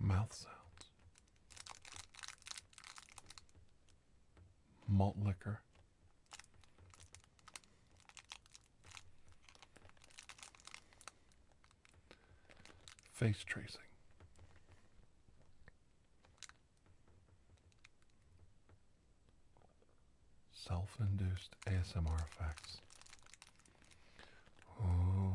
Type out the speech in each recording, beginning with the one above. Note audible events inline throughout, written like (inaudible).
Mouth sounds. Malt liquor. Face tracing. Self induced ASMR effects. Oh.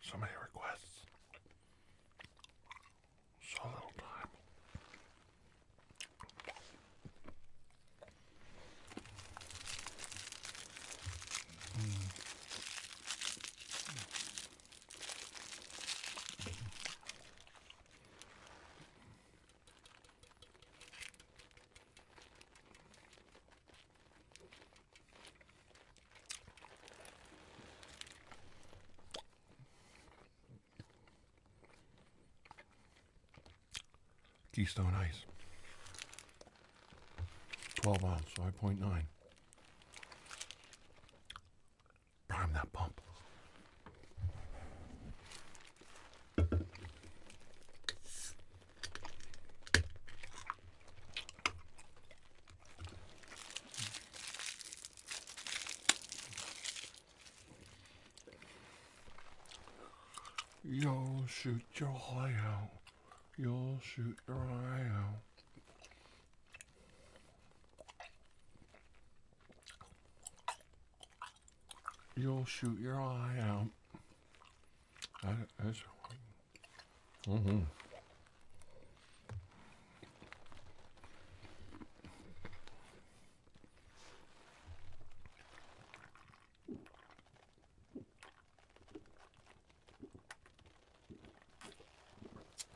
So many requests. So little time. Keystone Ice. 12 ounces, 5.9. Prime that pump. You'll shoot your eye out. You'll shoot your eye out. You'll shoot your eye out. That is. Mm hmm.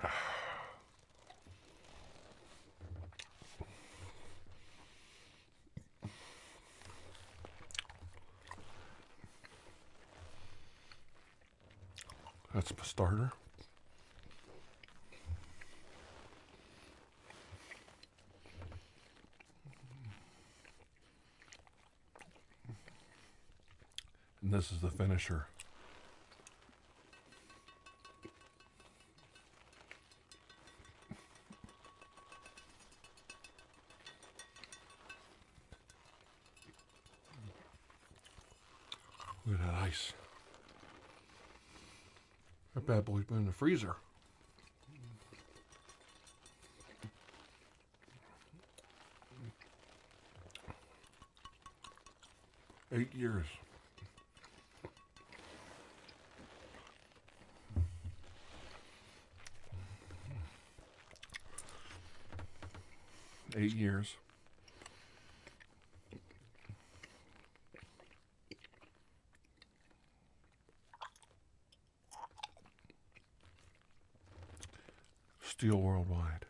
(sighs) That's the starter. And this is the finisher. Look at that ice. That bad boy's been in the freezer. Eight years. Eight years. Steel worldwide.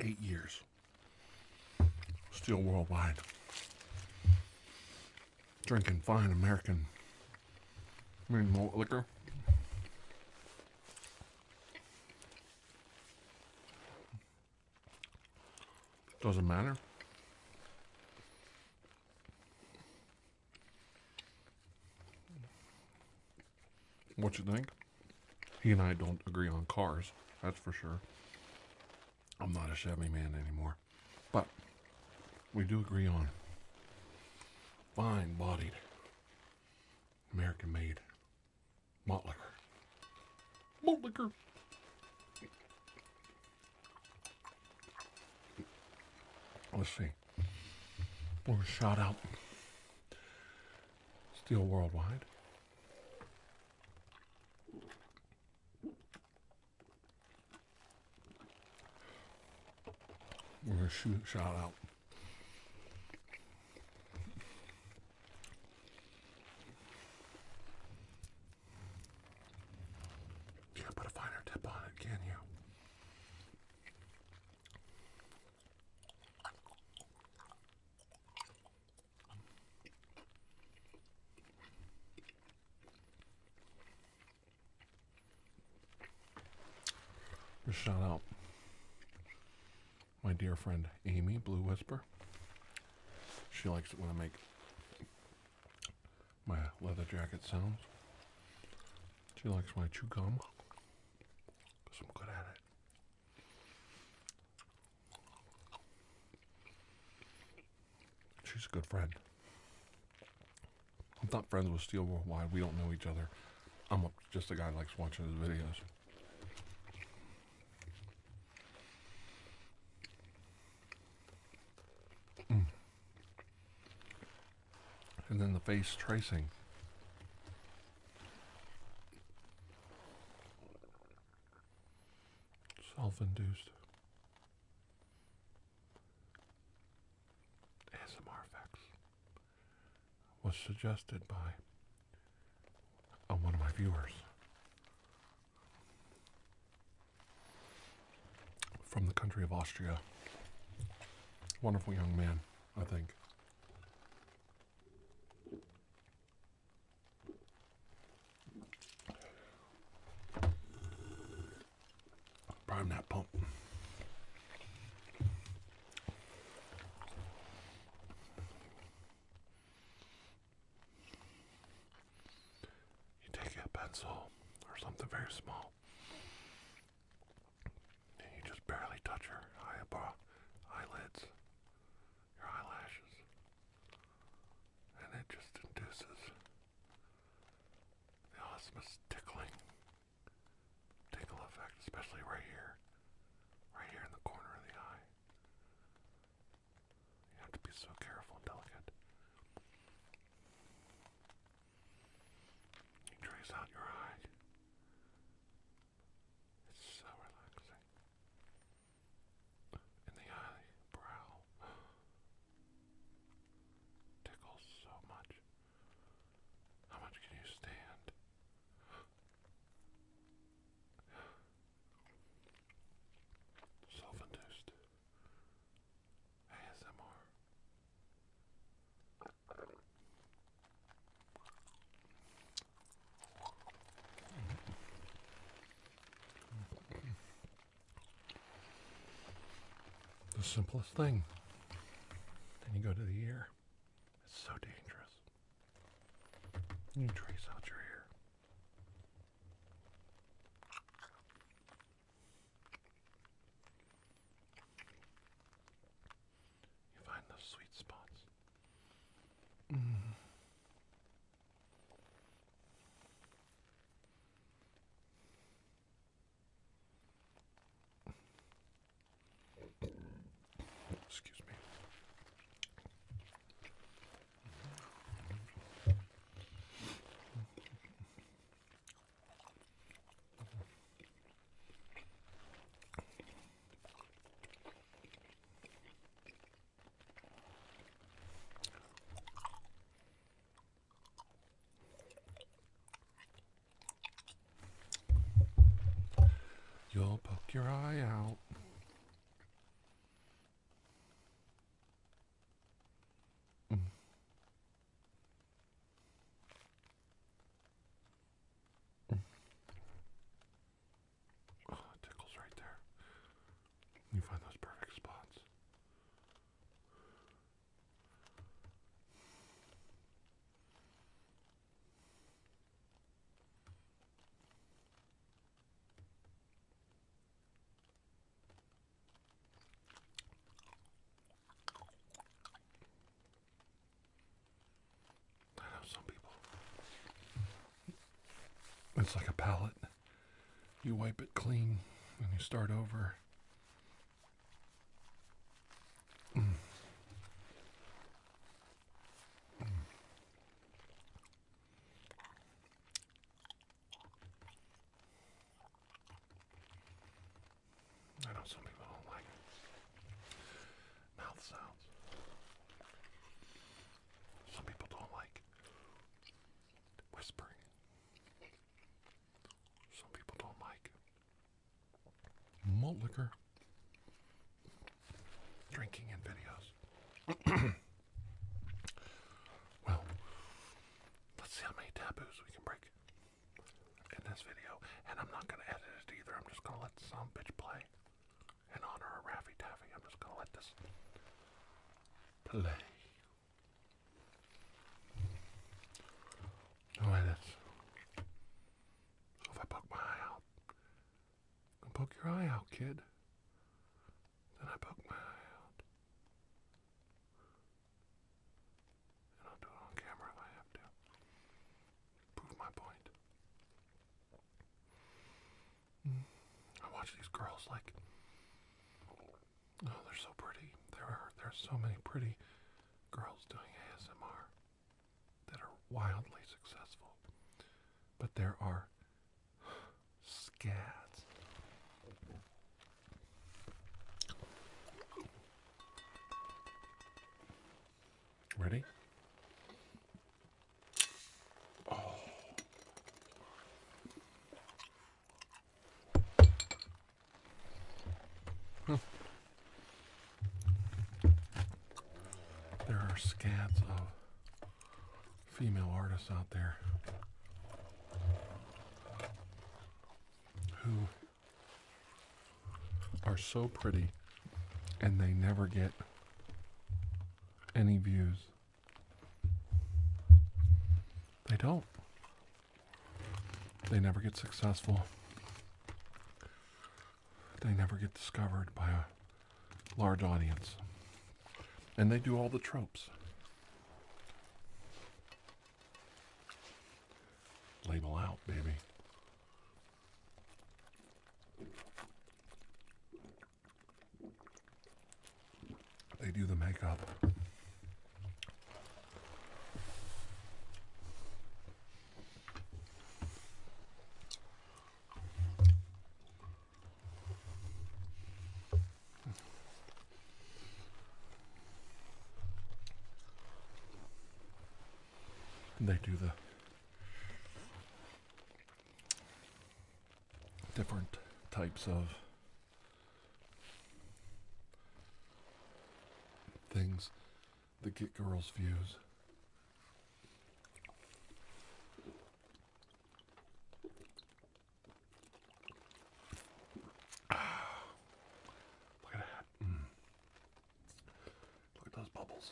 Eight years. Still worldwide. Drinking fine American mean malt liquor. Doesn't matter. What you think? He and I don't agree on cars, that's for sure. I'm not a Chevy man anymore. But we do agree on fine bodied, American made malt liquor. Malt liquor. Let's see. We're shot out. Still worldwide. We're gonna shoot shot out. Can't put a finer tip on it, can you? Just shout out my dear friend Amy Blue Whisper. She likes it when I make my leather jacket sounds. She likes my chew gum because I'm good at it. She's a good friend. I'm not friends with Steel Worldwide. We don't know each other. I'm just a guy who likes watching his videos and then the face tracing. Self-induced. ASMR effects was suggested by uh, one of my viewers from the country of Austria. Wonderful young man, I think. Prime that pump. You take a pencil or something very small. And you just barely touch your eyebrow, uh, eyelids, your eyelashes, and it just induces the osmosis tickling, tickle effect, especially right here, right here in the corner of the eye. You have to be so careful and delicate. You trace out your eye. It's so relaxing. And the eye (gasps) tickles so much. How much can you stand? (gasps) Self-induced ASMR. The simplest thing. Then you go to the ear. It's so dangerous. You trace out your ear. You find those sweet spots. Excuse me. You'll poke your eye out. Oh, tickles right there. You find those perfect spots. I know some people. It's like a palette. You wipe it clean and you start over. I know some people don't like it. mouth sounds. Some people don't like whispering. Some people don't like malt liquor drinking in videos. (coughs) well, let's see how many taboos we can break in this video, and I'm not gonna edit it either. I'm just gonna let some bitch play. In honor of Raffy Taffy, I'm just gonna let this play. Oh, no edits. So if I poke my eye out, you poke your eye out, kid. Then I poke my eye out. And I'll do it on camera if I have to. Prove my point. I watch these girls like oh they're so pretty. There are there's so many pretty girls doing ASMR that are wildly successful. But there are (sighs) scads Ready? Oh. Hmm. There are scads of female artists out there who are so pretty and they never get any views. They don't. They never get successful. They never get discovered by a large audience. And they do all the tropes. Label out, baby. They do the makeup. And they do the different types of things that get girls' views. Look at that. Mm. Look at those bubbles.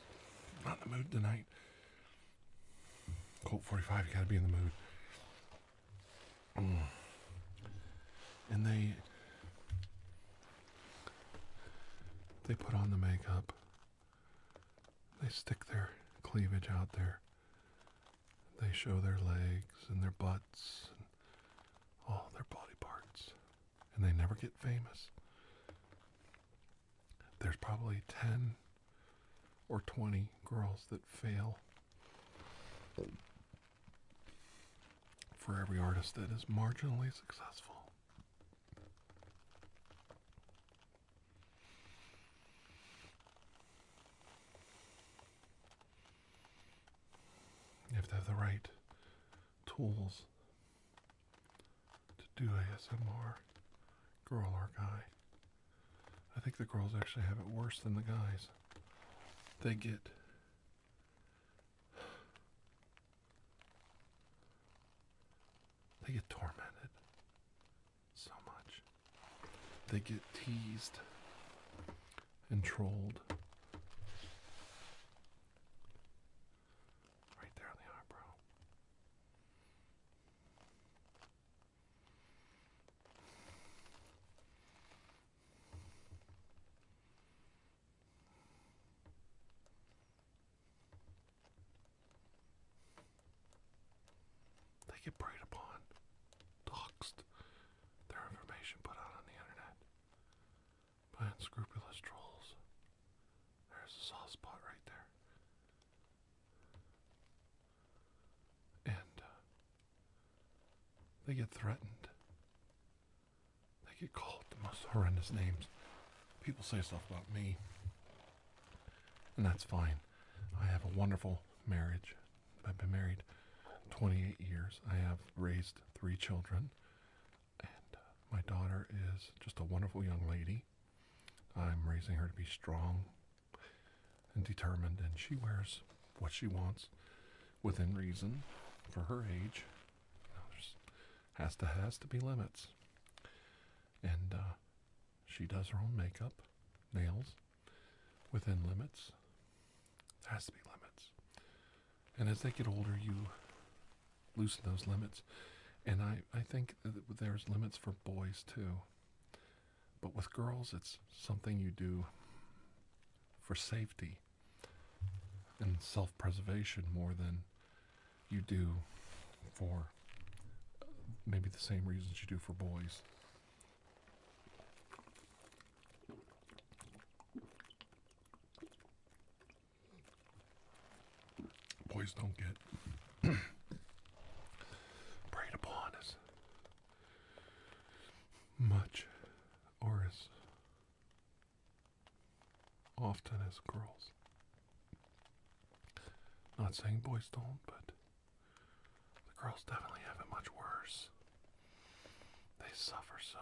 Not in the mood tonight. Colt 45, you gotta be in the mood. Mm. And they they put on the makeup. They stick their cleavage out there. They show their legs and their butts all their body parts, and they never get famous. There's probably 10 or 20 girls that fail for every artist that is marginally successful. You have to have the right tools to do ASMR, girl or guy. I think the girls actually have it worse than the guys. They get. They get tormented so much. They get teased and trolled. Right there on the eyebrow. They get preyed upon, doxed, their information put out on the internet by unscrupulous trolls. There's a soft spot right there. And uh, they get threatened. They get called the most horrendous names. People say stuff about me. And that's fine. I have a wonderful marriage I've been married 28 years. I have raised three children, and uh, my daughter is just a wonderful young lady. I'm raising her to be strong and determined, and she wears what she wants within reason for her age. You has to has to be limits, and uh, she does her own makeup, nails within limits. There has to be limits. And as they get older, you loosen those limits. And I, I think that there's limits for boys too. But with girls, it's something you do for safety and self preservation more than you do for uh, maybe the same reasons you do for boys. Boys don't get (clears throat) preyed upon as much or as often as girls. Not saying boys don't, but the girls definitely have it much worse. They suffer so.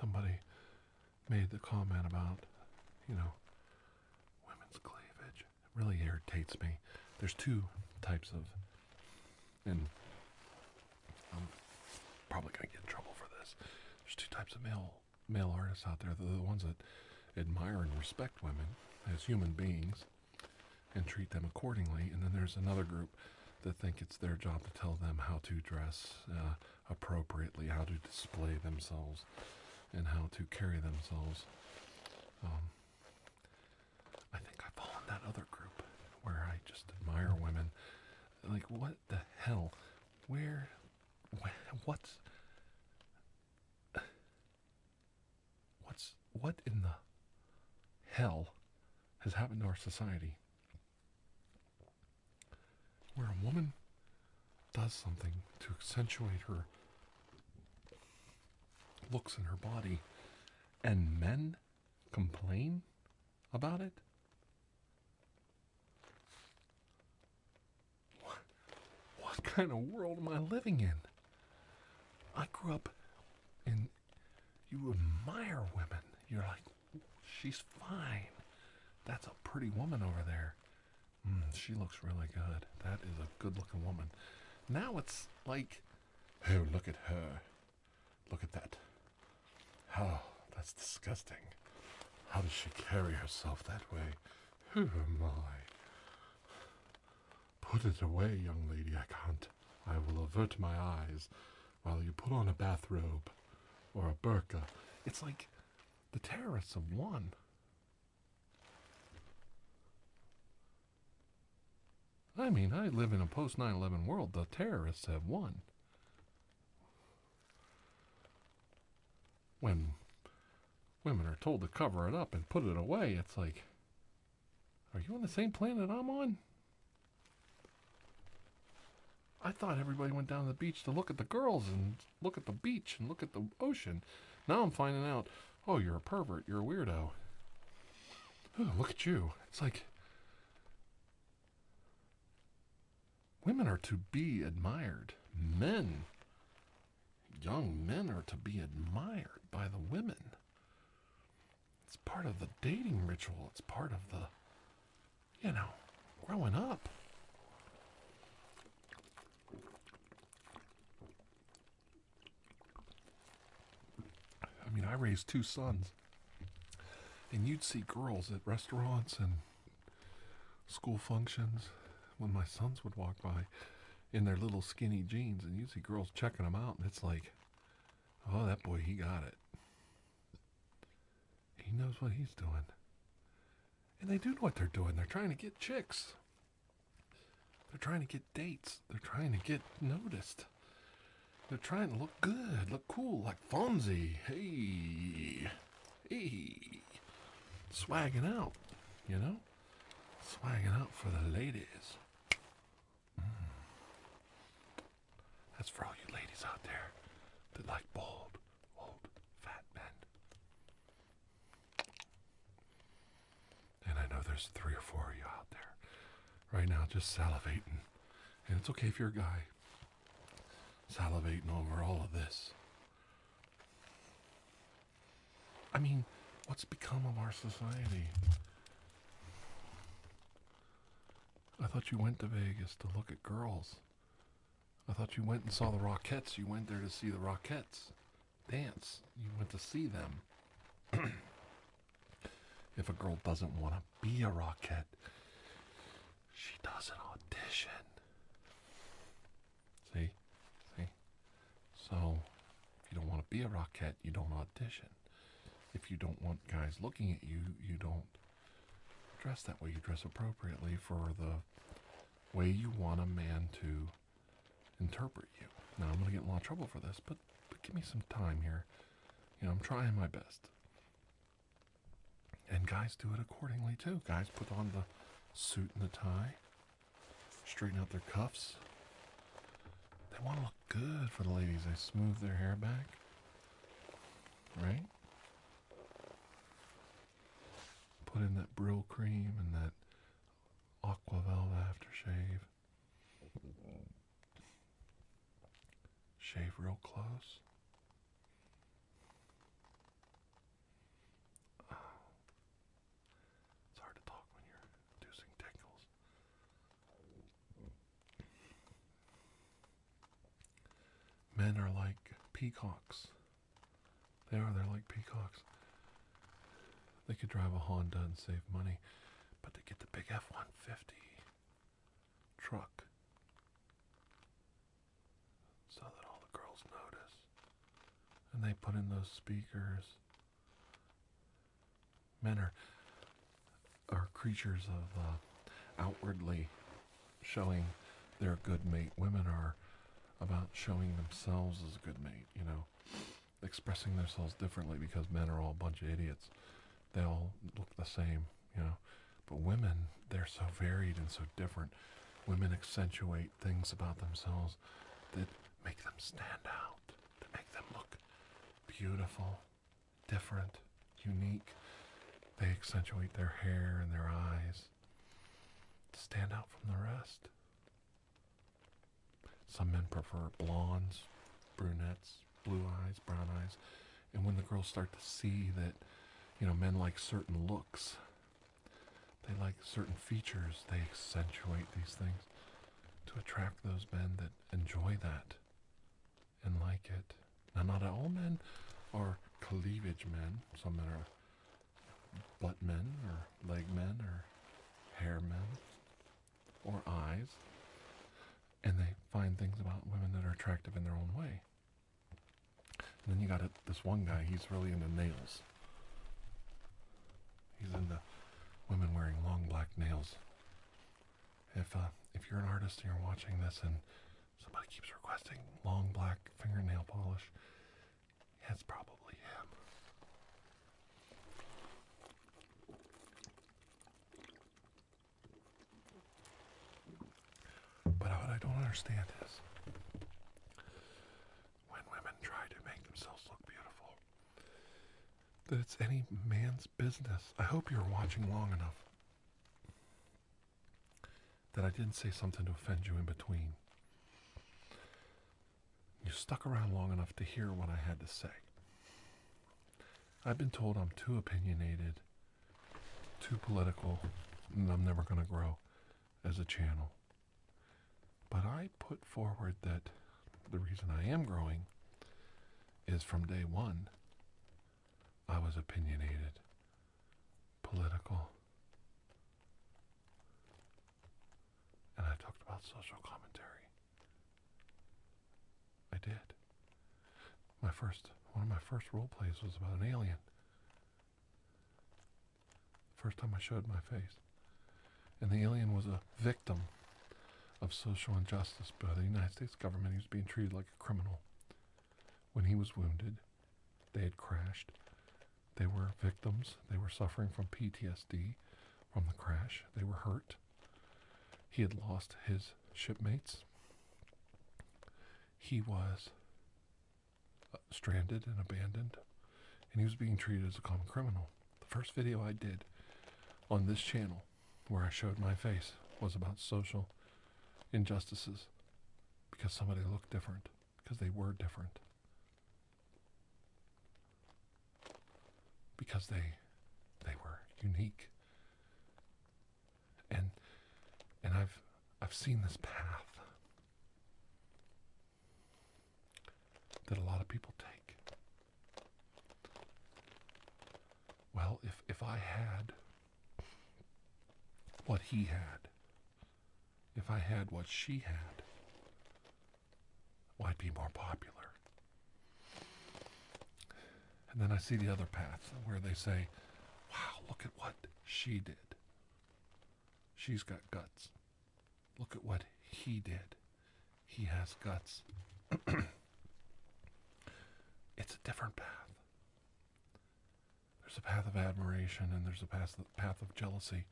Somebody made the comment about, you know, women's cleavage. It really irritates me. There's two types of, and I'm probably going to get in trouble for this. There's two types of male male artists out there. The, the ones that admire and respect women as human beings and treat them accordingly. And then there's another group that think it's their job to tell them how to dress uh, appropriately, how to display themselves, and how to carry themselves. Um, I think I fall in that other group where I just admire women. Like, what the hell? Where? Wh- what's. What's what in the hell has happened to our society where a woman does something to accentuate her looks in her body and men complain about it? What, what kind of world am I living in? I grew up in you admire women. You're like, she's fine. That's a pretty woman over there. Hmm, she looks really good. That is a good looking woman. Now it's like, oh, look at her. Look at that. Oh, that's disgusting. How does she carry herself that way? Who oh, am I? Put it away, young lady, I can't. I will avert my eyes while you put on a bathrobe or a burqa. It's like the terrorists have won. I mean, I live in a post 9 11 world. The terrorists have won. When women are told to cover it up and put it away, it's like, are you on the same planet I'm on? I thought everybody went down to the beach to look at the girls and look at the beach and look at the ocean. Now I'm finding out, oh, you're a pervert, you're a weirdo. look at you. It's like women are to be admired. Men, young men are to be admired by the women. It's part of the dating ritual. It's part of the, you know, growing up. I mean, I raised two sons, and you'd see girls at restaurants and school functions when my sons would walk by in their little skinny jeans, and you'd see girls checking them out, and it's like, Oh, that boy, he got it. He knows what he's doing. And they do know what they're doing. They're trying to get chicks. They're trying to get dates. They're trying to get noticed. They're trying to look good, look cool, like Fonzie. Hey, hey, swagging out, you know, swagging out for the ladies. Mm. That's for all you ladies out there that like bold, old, fat men. And I know there's three or four of you out there right now just salivating. And it's okay if you're a guy salivating over all of this. I mean, what's become of our society? I thought you went to Vegas to look at girls. I thought you went and saw the Rockettes. You went there to see the Rockettes dance. You went to see them. (clears throat) if a girl doesn't want to be a Rockette, she doesn't audition. See? See? So, if you don't want to be a Rockette, you don't audition. If you don't want guys looking at you, you don't dress that way. You dress appropriately for the way you want a man to interpret you. Now, I'm going to get a lot of trouble for this, but, but give me some time here. You know, I'm trying my best. And guys do it accordingly, too. Guys put on the suit and the tie, straighten out their cuffs. They want to look Good for the ladies. I smooth their hair back. Right? Put in that Brill cream and that Aqua Velva aftershave. Shave real close. Ah. It's hard to talk when you're inducing tingles. Men are like peacocks. They are, they're like peacocks. They could drive a Honda and save money, but to get the big F 150 truck so that all the girls notice. And they put in those speakers Men are, are creatures of uh, outwardly showing their good mate. Women are about showing themselves as a good mate, you know, expressing themselves differently because men are all a bunch of idiots. They all look the same, you know. But women, they're so varied and so different. Women accentuate things about themselves that make them stand out, that make them look beautiful, different, unique. They accentuate their hair and their eyes to stand out from the rest. Some men prefer blondes, brunettes, blue eyes, brown eyes. And when the girls start to see that, you know, men like certain looks, they like certain features, they accentuate these things to attract those men that enjoy that and like it. Now, not all men are cleavage men. Some men are butt men, or leg men, or hair men, or eyes. And they find things about women that are attractive in their own way. And then you got this one guy, he's really into nails. He's into women wearing long black nails if uh, if you're an artist and you're watching this and somebody keeps requesting long black fingernail polish, it's probably him. But what I don't understand is when women try to make themselves look beautiful, that it's any man's business. I hope you're watching long enough that I didn't say something to offend you in between. You stuck around long enough to hear what I had to say. I've been told I'm too opinionated, too political, and I'm never going to grow as a channel. But I put forward that the reason I am growing is from day one, I was opinionated, political, and I talked about social commentary. I did. My first, one of my first role plays was about an alien. First time I showed my face. And the alien was a victim of social injustice by the United States government. He was being treated like a criminal. When he was wounded, they had crashed. They were victims. They were suffering from PTSD from the crash. They were hurt. He had lost his shipmates. He was uh, stranded and abandoned, and he was being treated as a common criminal. The first video I did on this channel where I showed my face was about social injustices because somebody looked different, because they were different, because they they were unique. And and I've I've seen this path that a lot of people take. Well, if, if I had what he had, if I had what she had, I'd be more popular. And then I see the other path where they say, wow, look at what she did. She's got guts. Look at what he did. He has guts. (clears throat) it's a different path. There's a path of admiration and there's a path, path of jealousy.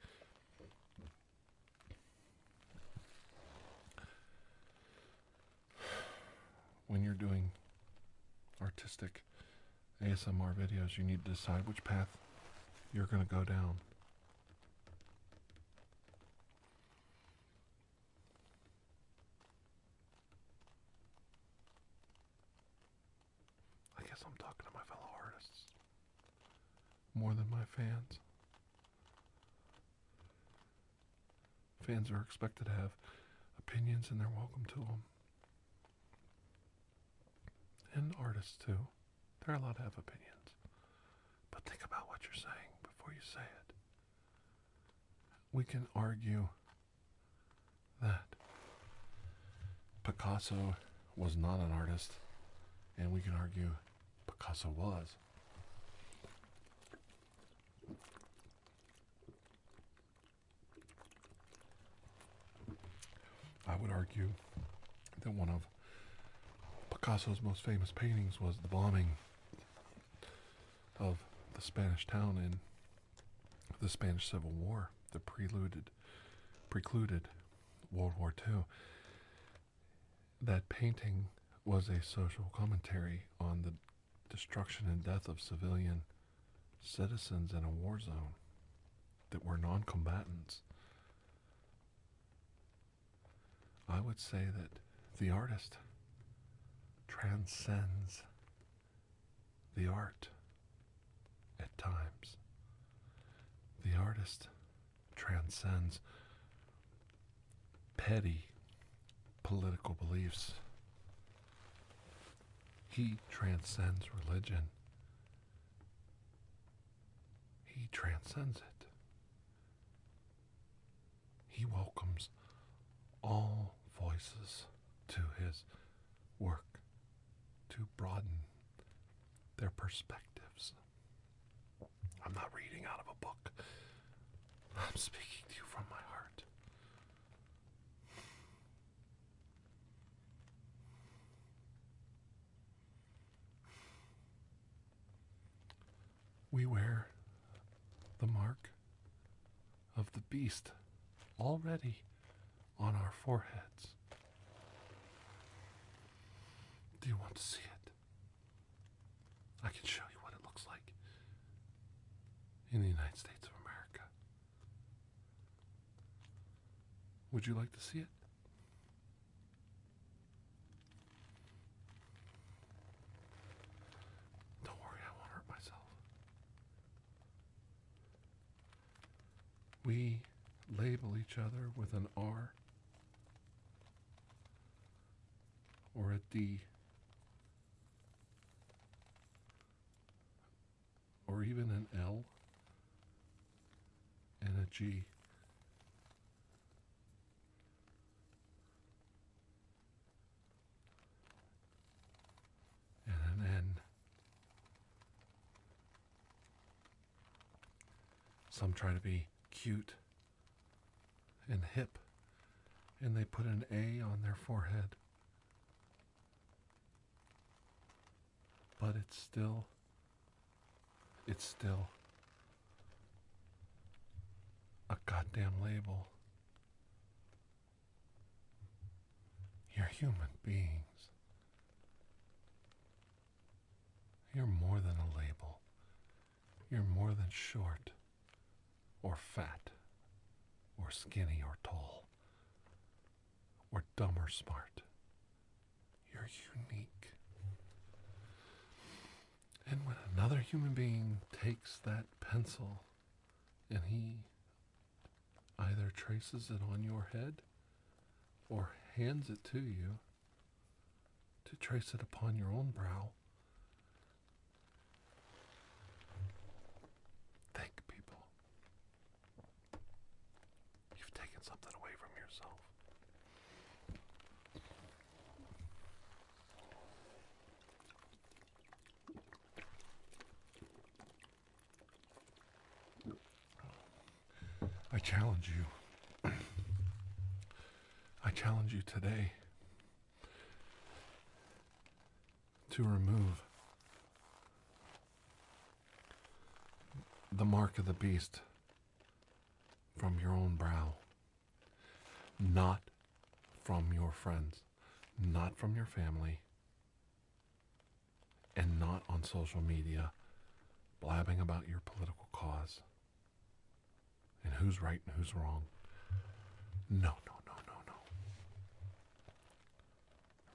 When you're doing artistic ASMR videos, you need to decide which path you're going to go down. I guess I'm talking to my fellow artists more than my fans. Fans are expected to have opinions and they're welcome to them. And artists too. They're allowed to have opinions. But think about what you're saying before you say it we can argue that Picasso was not an artist, and we can argue Picasso was. I would argue that one of Picasso's most famous paintings was The Bombing of the Spanish town in the Spanish Civil War, the preluded, precluded World War II. That painting was a social commentary on the destruction and death of civilian citizens in a war zone that were non combatants. I would say that the artist transcends the art at times. The artist transcends petty political beliefs. He transcends religion. He transcends it. He welcomes all voices to his work to broaden their perspectives. I'm not reading out of a book. I'm speaking to you from my heart. We wear the mark of the beast already on our foreheads. Do you want to see it? I can show you what it looks like in the United States of America. Would you like to see it? Don't worry, I won't hurt myself. We label each other with an R or a D or even an L and a G and an Some try to be cute and hip, and they put an A on their forehead. But it's still, it's still a goddamn label. You're human beings. You're more than a label. You're more than short, or fat, or skinny, or tall, or dumb or smart. You're unique. And when another human being takes that pencil and he either traces it on your head or hands it to you to trace it upon your own brow, thank people. You've taken something away from yourself. I challenge you. (clears throat) I challenge you today to remove the mark of the beast from your own brow. Not from your friends, not from your family, and not on social media blabbing about your political cause and who's right and who's wrong. No, no, no, no, no.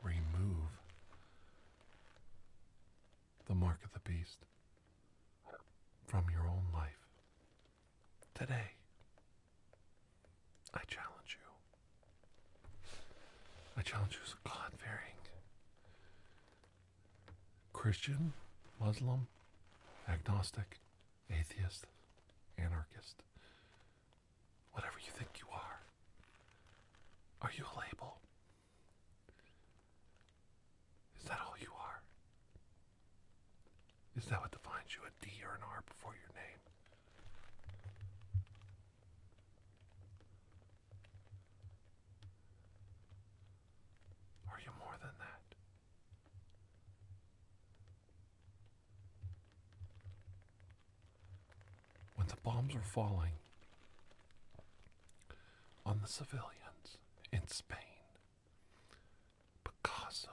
Remove the mark of the beast from your own life. Today, I challenge you. I challenge you as a God fearing Christian, Muslim, agnostic, atheist, anarchist, whatever you think you are. Are you a label? Is that all you are? Is that what defines you, a D or an R before your name? Are you more than that? When the bombs were falling on the civilians in Spain, Picasso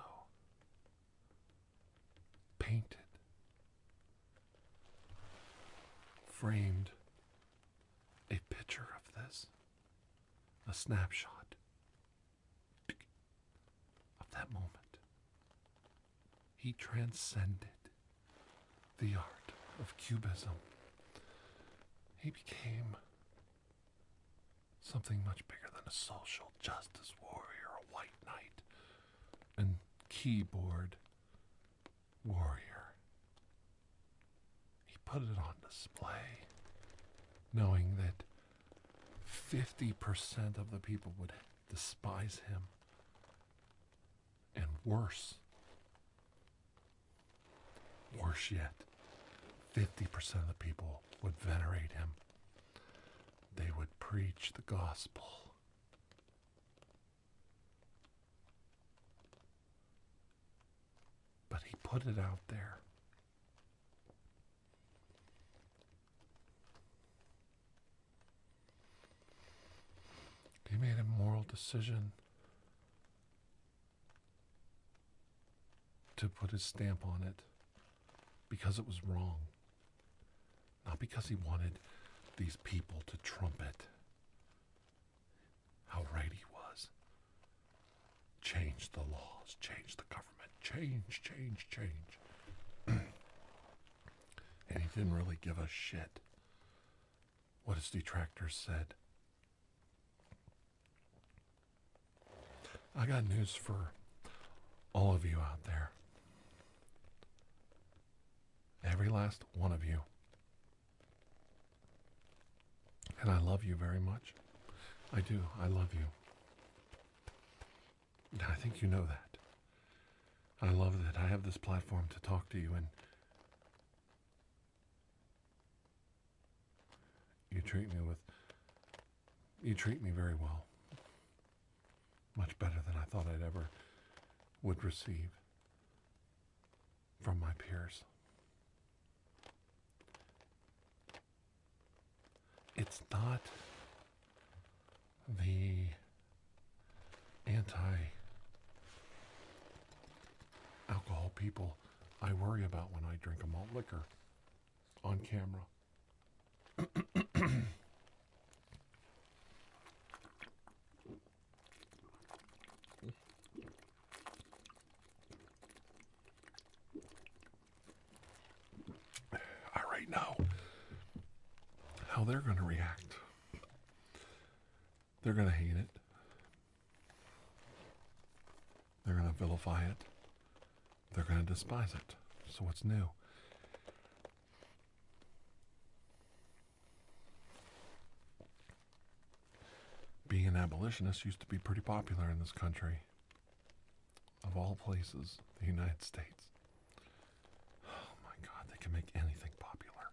painted, framed a picture of this, a snapshot of that moment. He transcended the art of cubism. He became something much bigger than a social justice warrior, a white knight, and keyboard warrior. He put it on display, knowing that 50% of the people would despise him, and worse, worse yet, 50% of the people would venerate him. They would preach the gospel. But he put it out there. He made a moral decision to put his stamp on it because it was wrong. Not because he wanted these people to trumpet how right he was. Change the laws, change the government, change, change, change. (clears throat) and he didn't really give a shit what his detractors said. I got news for all of you out there. Every last one of you. And I love you very much. I do. I love you. I think you know that. I love that I have this platform to talk to you and you treat me with. You treat me very well. Much better than I thought I'd ever would receive from my peers. It's not the anti alcohol people I worry about when I drink a malt liquor on camera. I right now how they're going to react. They're going to hate it. They're going to vilify it. They're going to despise it. So, what's new? Being an abolitionist used to be pretty popular in this country. Of all places, the United States. Oh my god, they can make anything popular.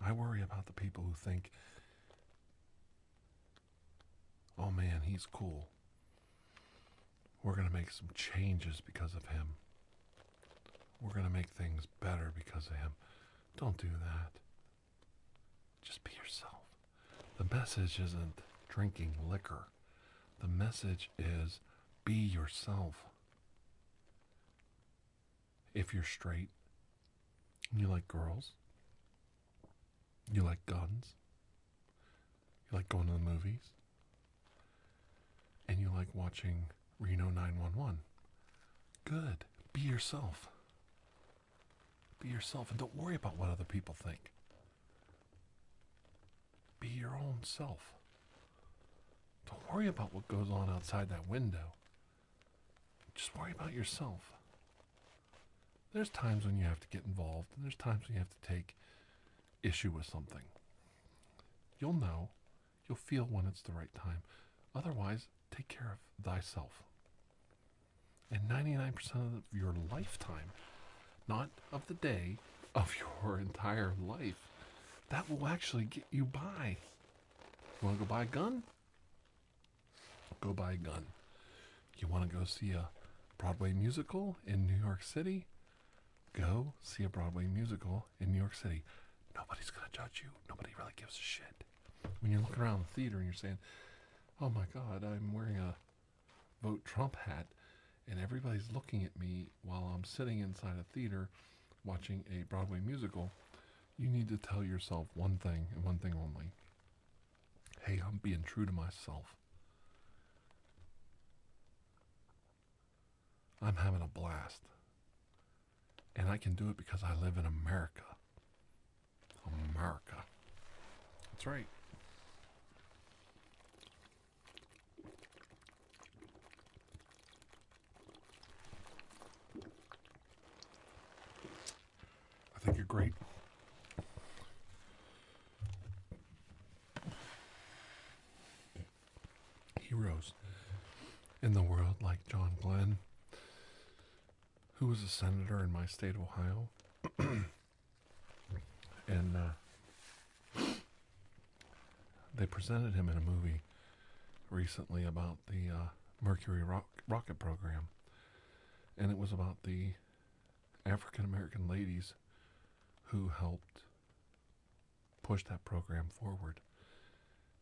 (sighs) I worry about the people who think Oh man, he's cool. We're going to make some changes because of him. We're going to make things better because of him. Don't do that. Just be yourself. The message isn't drinking liquor, the message is be yourself. If you're straight, you like girls. You like guns. You like going to the movies. And you like watching Reno 911. Good. Be yourself. Be yourself and don't worry about what other people think. Be your own self. Don't worry about what goes on outside that window. Just worry about yourself. There's times when you have to get involved, and there's times when you have to take issue with something. You'll know, you'll feel when it's the right time. Otherwise, take care of thyself. And 99% of your lifetime, not of the day, of your (laughs) entire life, that will actually get you by. You want to go buy a gun? go buy a gun. You want to go see a Broadway musical in New York City? Go see a Broadway musical in New York City. Nobody's going to judge you. Nobody really gives a shit. When you're looking around the theater and you're saying, oh my God, I'm wearing a vote Trump hat and everybody's looking at me while I'm sitting inside a theater watching a Broadway musical, you need to tell yourself one thing and one thing only hey, I'm being true to myself. I'm having a blast. And I can do it because I live in America. America. That's right. I think you're great. Heroes in the world like John Glenn, who was a senator in my state of Ohio. (clears throat) and uh, they presented him in a movie recently about the uh, Mercury rocket program and it was about the African American ladies who helped push that program forward.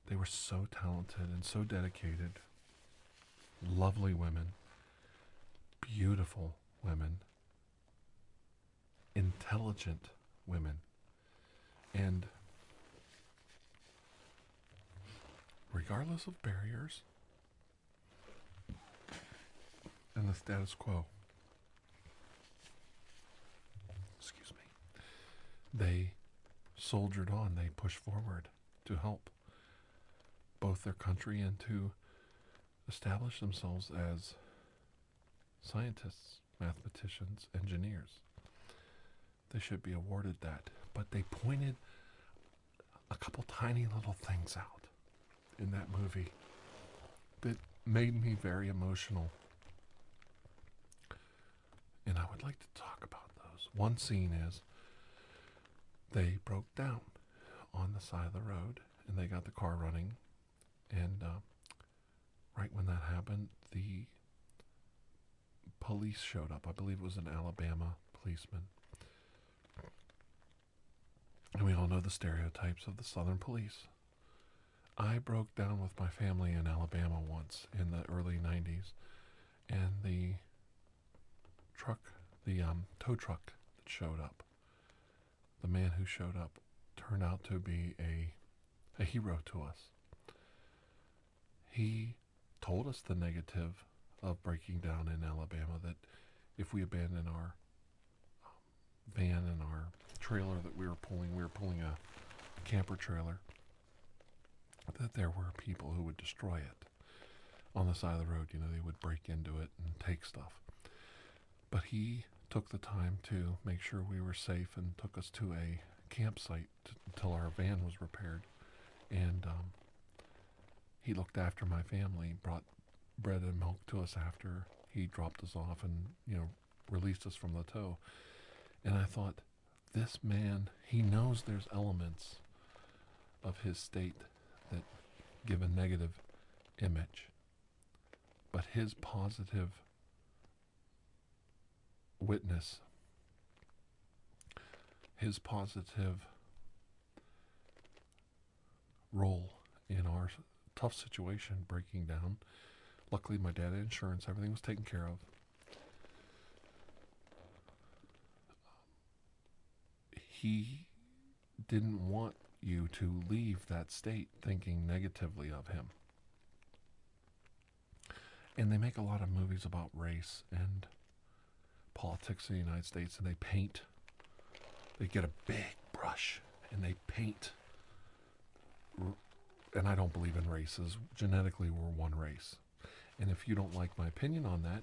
They were so talented and so dedicated. Lovely women, beautiful women, intelligent women, and regardless of barriers and the status quo. Excuse me. They soldiered on, they pushed forward to help both their country and to establish themselves as scientists, mathematicians, engineers they should be awarded that. But they pointed a couple tiny little things out in that movie that made me very emotional. And I would like to talk about those. One scene is they broke down on the side of the road and they got the car running. And uh, right when that happened, the police showed up. I believe it was an Alabama policeman. And we all know the stereotypes of the Southern police. I broke down with my family in Alabama once in the early 90s, and the truck, the um, tow truck that showed up, the man who showed up turned out to be a hero to us. He told us the negative of breaking down in Alabama that if we abandon our um, van and our trailer that we were pulling, we were pulling a camper trailer, that there were people who would destroy it on the side of the road. You know, they would break into it and take stuff. But he took the time to make sure we were safe and took us to a campsite until our van was repaired. And um, he looked after my family, brought bread and milk to us after he dropped us off and, you know, released us from the tow. And I thought, this man, he knows there's elements of his state that give a negative image. But his positive witness his positive role in our tough situation breaking down. Luckily, my dad had insurance, everything was taken care of. He didn't want you to leave that state thinking negatively of him. And they make a lot of movies about race and politics in the United States and they paint. They get a big brush and they paint. And I don't believe in races. Genetically, we're one race. And if you don't like my opinion on that,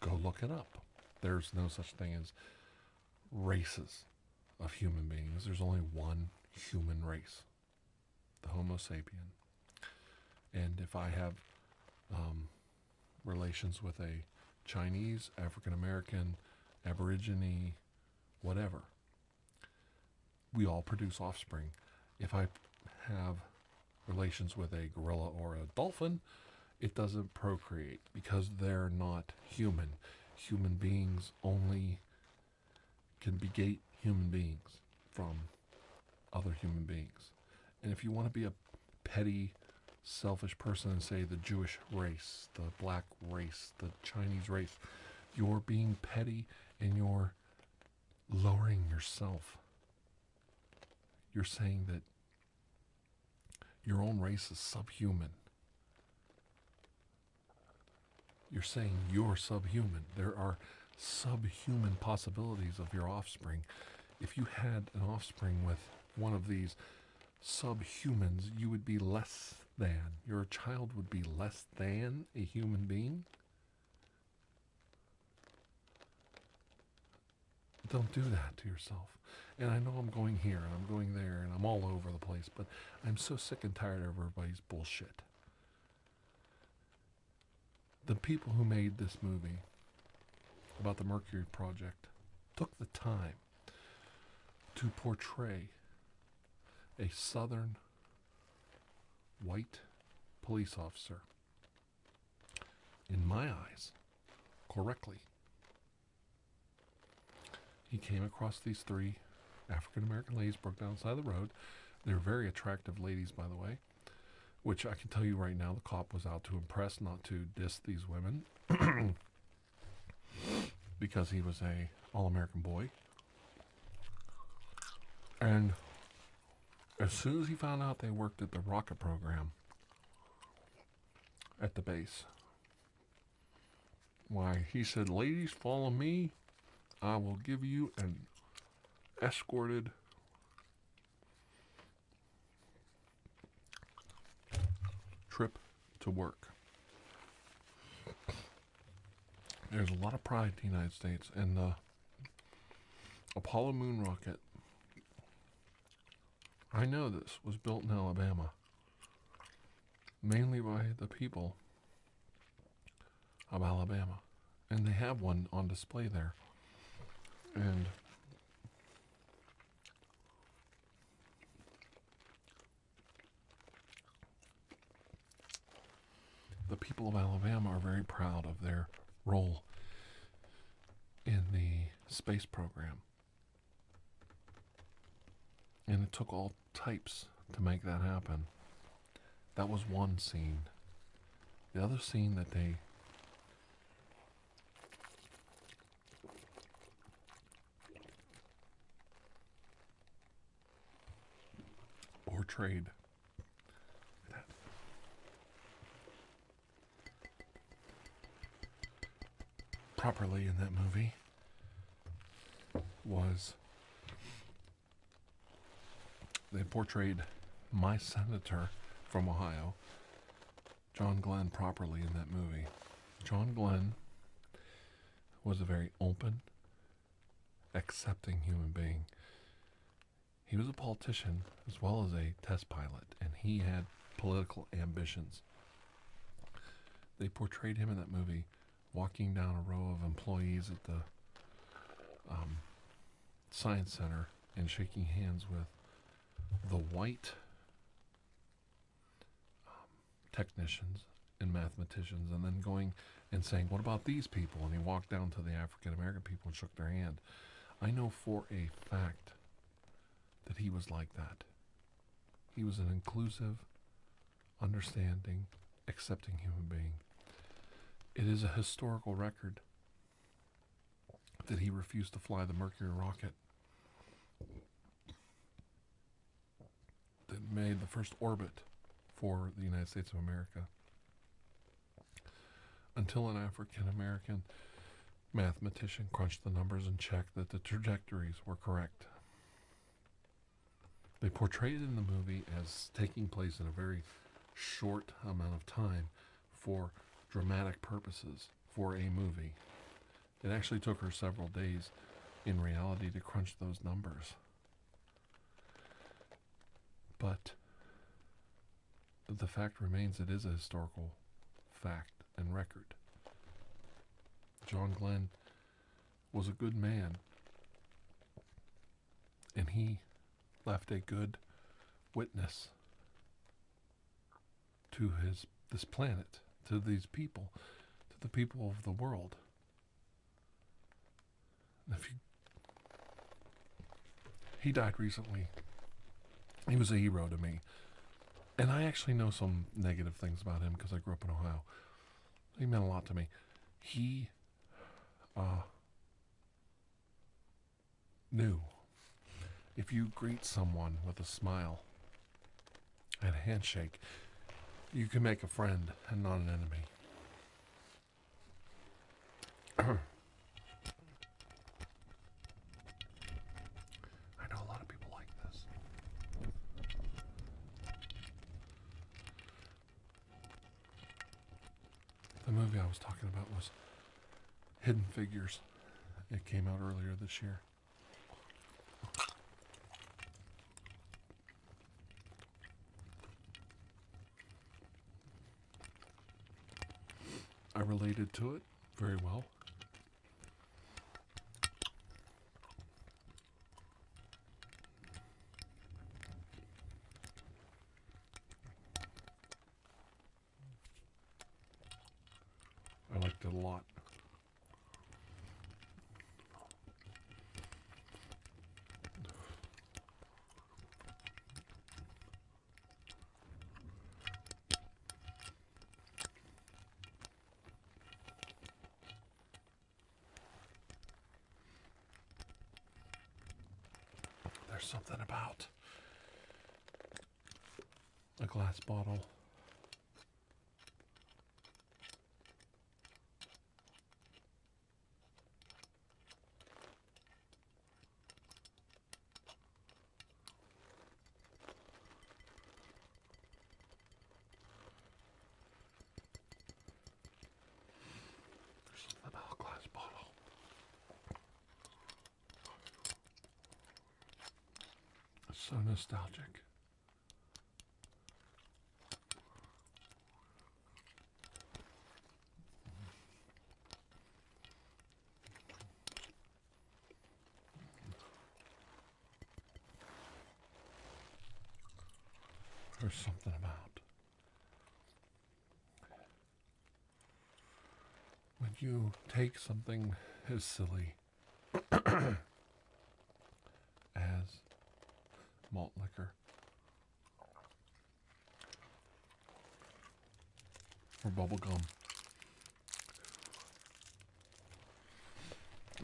go look it up. There's no such thing as races of human beings. There's only one human race, the Homo sapien. And if I have um, relations with a Chinese, African American, Aborigine, whatever. We all produce offspring. If I have relations with a gorilla or a dolphin, it doesn't procreate because they're not human. Human beings only can begate human beings from other human beings. And if you want to be a petty, selfish person and say the Jewish race, the black race, the Chinese race, you're being petty and you're lowering yourself. You're saying that your own race is subhuman. You're saying you're subhuman. There are subhuman possibilities of your offspring. If you had an offspring with one of these subhumans, you would be less than. Your child would be less than a human being. Don't do that to yourself. And I know I'm going here and I'm going there and I'm all over the place, but I'm so sick and tired of everybody's bullshit the people who made this movie about the Mercury Project took the time to portray a southern white police officer, in my eyes, correctly. He came across these three African American ladies, broke down the side of the road. They're very attractive ladies, by the way which I can tell you right now, the cop was out to impress, not to diss these women, (coughs) because he was a all-American boy. And as soon as he found out they worked at the rocket program at the base, why he said, "Ladies, follow me. I will give you an escorted Trip to work. There's a lot of pride in the United States, and the Apollo moon rocket, I know this, was built in Alabama, mainly by the people of Alabama and they have one on display there. And the people of Alabama are very proud of their role in the space program. And it took all types to make that happen. That was one scene. The other scene that they or trade. Properly in that movie was they portrayed my senator from Ohio, John Glenn, properly in that movie. John Glenn was a very open, accepting human being. He was a politician as well as a test pilot, and he had political ambitions. They portrayed him in that movie walking down a row of employees at the um, Science Center and shaking hands with the white um, technicians and mathematicians, and then going and saying, What about these people? And he walked down to the African American people and shook their hand. I know for a fact that he was like that. He was an inclusive, understanding, accepting human being. It is a historical record that he refused to fly the Mercury rocket that made the first orbit for the United States of America until an African American mathematician crunched the numbers and checked that the trajectories were correct. They portrayed it in the movie as taking place in a very short amount of time, for dramatic purposes for a movie. It actually took her several days in reality to crunch those numbers. But the fact remains it is a historical fact and record. John Glenn was a good man, and he left a good witness to his this planet, to these people, to the people of the world. if he died recently. He was a hero to me. And I actually know some negative things about him because I grew up in Ohio. He meant a lot to me. He uh, new. If you greet someone with a smile and a handshake, you can make a friend and not an enemy. (clears throat) I know a lot of people like this. The movie I was talking about was Hidden Figures. It came out earlier this year. I related to it very well. I liked it a lot. There's something about a glass bottle. There's something a glass bottle. It's so nostalgic. There's something about when you take something as silly (coughs) as malt liquor or bubble gum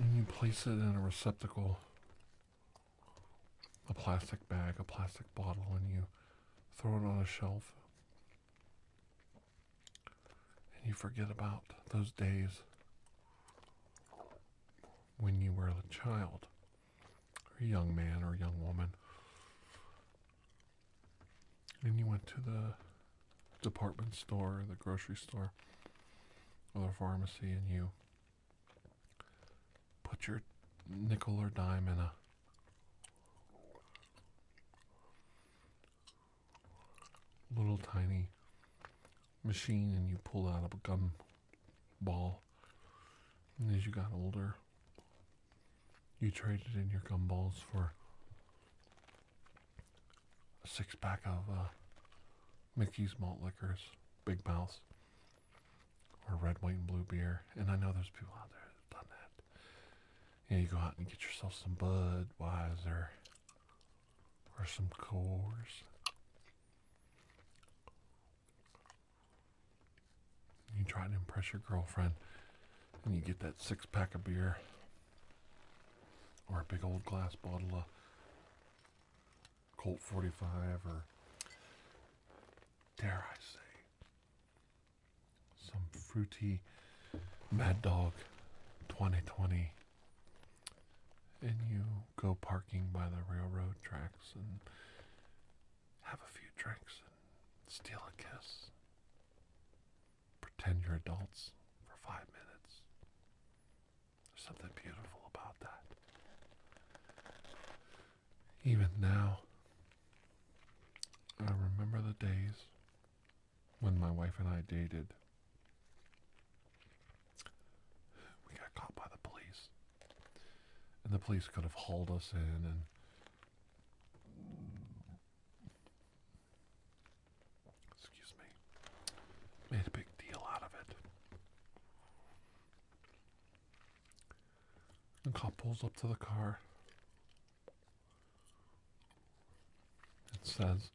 and you place it in a receptacle a plastic bag a plastic bottle and you throw it on a shelf and you forget about those days when you were a child, or a young man, or a young woman. And you went to the department store, the grocery store, or the pharmacy, and you put your nickel or dime in a little tiny machine and you pulled out of a gum ball. And as you got older, you traded in your gum balls for a six pack of uh, Mickey's malt liquors, Big Mouth, or red, white, and blue beer. And I know there's people out there that've done that. Yeah, you go out and get yourself some Budweiser or some Coors. You try to impress your girlfriend and you get that six pack of beer or a big old glass bottle of Colt 45 or, dare I say, some fruity Mad Dog 2020, and you go parking by the railroad tracks and have a few drinks and steal a kiss. Pretend you're adults for five minutes. There's something beautiful about that. Even now, I remember the days when my wife and I dated. We got caught by the police. And the police could have hauled us in and excuse me. Made a big deal out of it. The cop pulls up to the car. It says,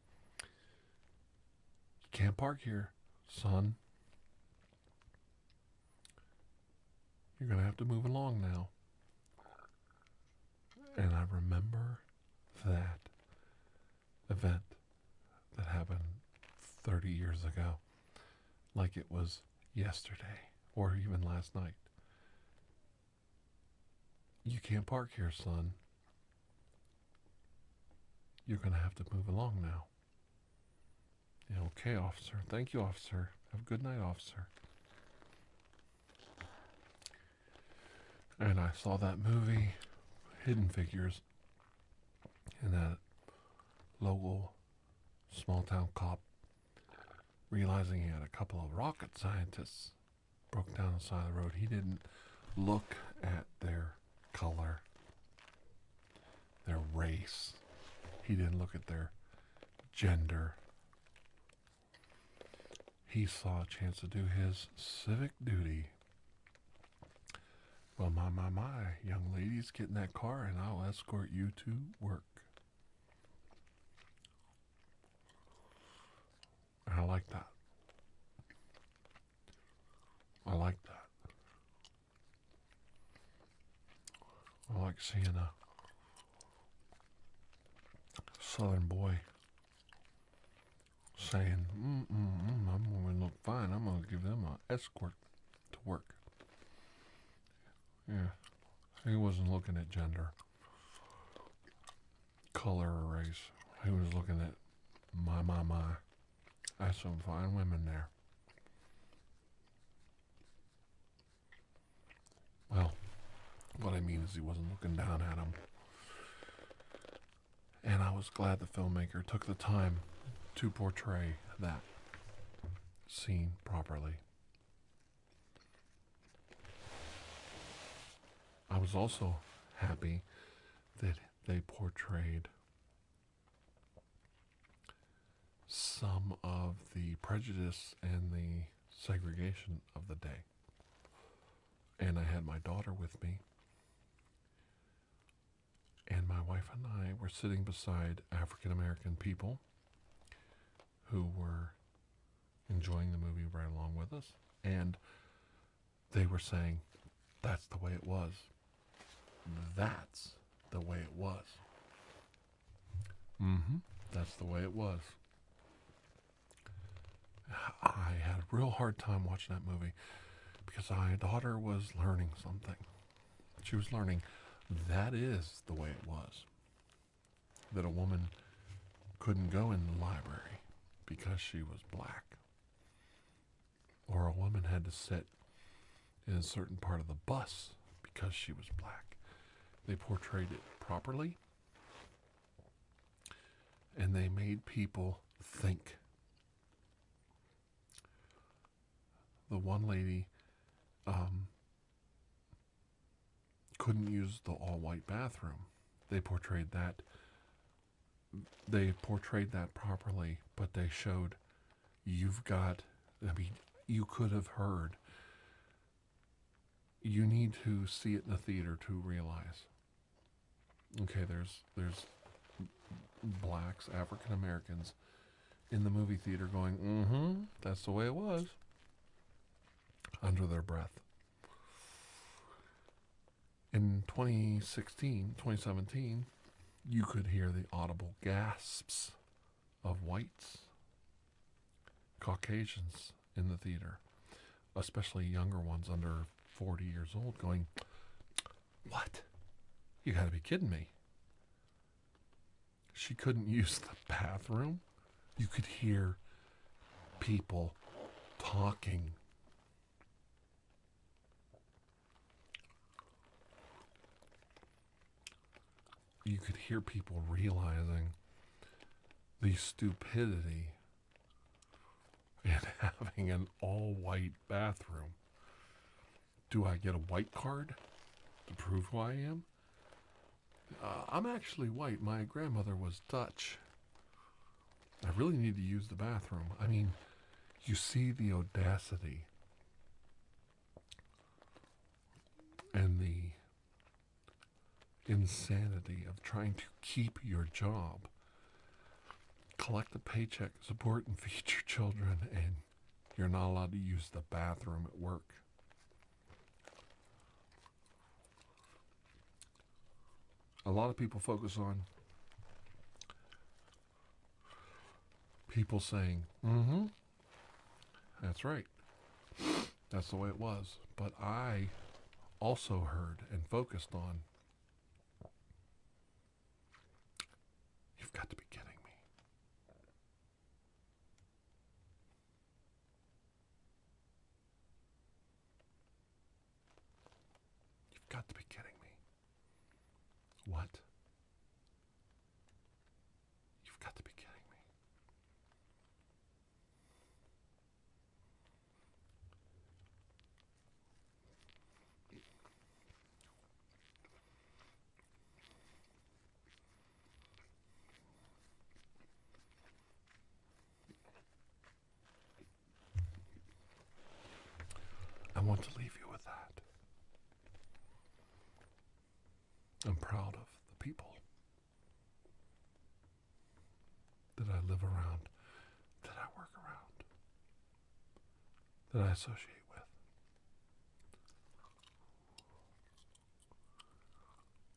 You can't park here, son. You're going to have to move along now. And I remember that event that happened 30 years ago like it was yesterday or even last night. You can't park here, son. You're going to have to move along now. okay, officer. Thank you, officer. Have a good night, officer. And I saw that movie, Hidden Figures, and that local small town cop realizing he had a couple of rocket scientists broke down the side of the road. He didn't look at their color, their race. He didn't look at their gender. He saw a chance to do his civic duty. Well, my, my, my, young ladies, get in that car and I'll escort you to work. I like that. I like that. I like seeing a southern boy saying, mm, mm, mm, I'm going to look fine. I'm going to give them an escort to work. Yeah, he wasn't looking at gender color race He was looking at my, my, my. That's some fine women there. Well, what I mean is he wasn't looking down at him. And I was glad the filmmaker took the time to portray that scene properly. I was also happy that they portrayed some of the prejudice and the segregation of the day. And I had my daughter with me. And my wife and I were sitting beside African American people who were enjoying the movie right along with us, and they were saying, That's the way it was. That's the way it was. Mm-hmm. That's the way it was. I had a real hard time watching that movie because my daughter was learning something. She was learning that is the way it was that a woman couldn't go in the library because she was black. Or a woman had to sit in a certain part of the bus because she was black. They portrayed it properly and they made people think. The one lady um, couldn't use the all white bathroom. They portrayed that they portrayed that properly, but they showed you've got I mean you could have heard you need to see it in the theater to realize okay there's there's blacks african americans in the movie theater going mm-hmm that's the way it was under their breath. In 2016, 2017, you could hear the audible gasps of whites, Caucasians in the theater, especially younger ones under 40 years old, going, What? You gotta be kidding me. She couldn't use the bathroom. You could hear people talking. You could hear people realizing the stupidity in (laughs) having an all white bathroom. Do I get a white card to prove who I am? Uh, I'm actually white. My grandmother was Dutch. I really need to use the bathroom. I mean, you see the audacity and the insanity of trying to keep your job, collect a paycheck, support and feed your children, and you're not allowed to use the bathroom at work a lot of people focus on people saying, mm hmm, that's right. That's the way it was. But I also heard and focused on, you've got to be kidding me. You've got to be kidding me. What? You've got to be kidding me. I want to leave you with that. I'm proud of the people that I live around, that I work around, that I associate with.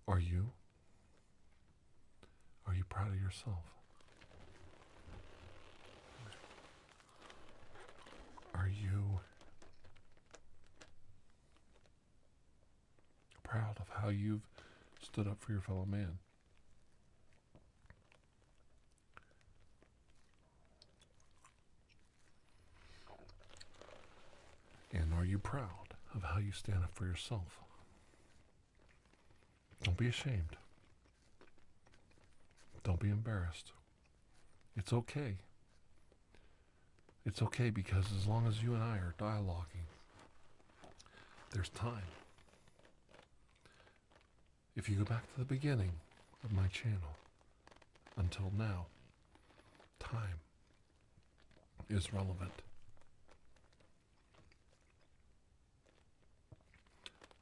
Are you? Are you proud of yourself? Are you proud of how you've stood up for your fellow man? And are you proud of how you stand up for yourself? Don't be ashamed. Don't be embarrassed. It's okay. It's okay because as long as you and I are dialoguing, there's time. If you go back to the beginning of my channel until now, time is relevant.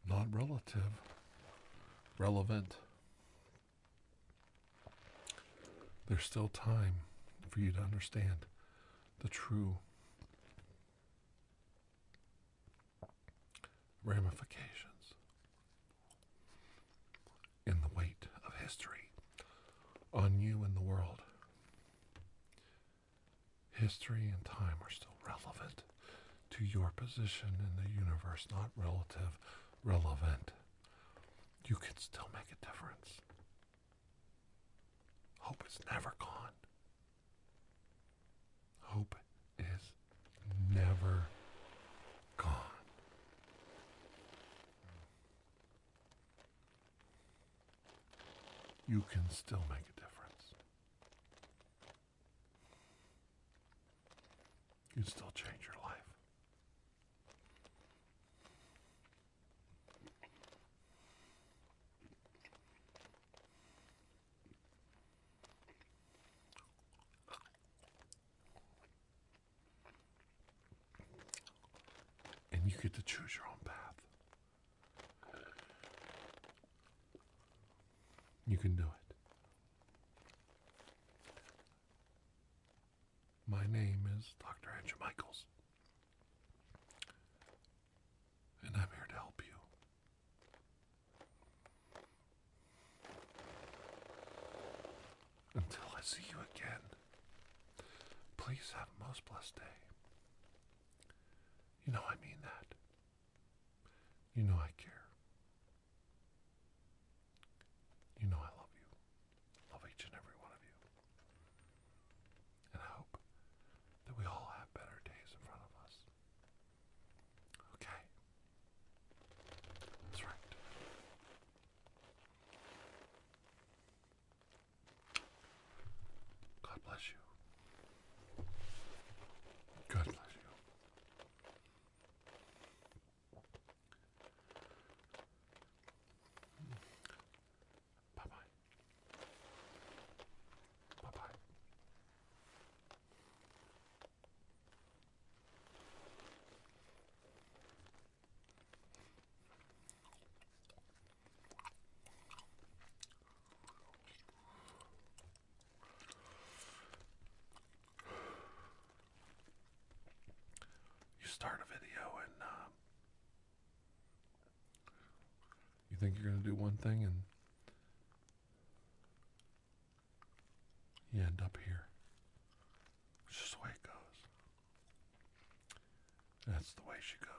Not relative, relevant. There's still time for you to understand the true ramifications in the weight of history on you and the world. History and time are still relevant to your position in the universe, not relative, relevant. You can still make a difference. Hope is never gone. Hope is never gone you can still make a difference. You can still change your life. And you get to choose your own path. You can do it. My name is Dr. Andrew Michaels. And I'm here to help you. Until I see you again, please have a most blessed day. You know I mean that. You know I care. You know I love you. Love each and every one of you. And I hope that we all have better days in front of us. Okay. That's right. God bless you. God bless you. Bye bye. Bye bye. You start a video and um, you think you're going to do one thing and you end up here. It's just the way it goes. That's the way she goes.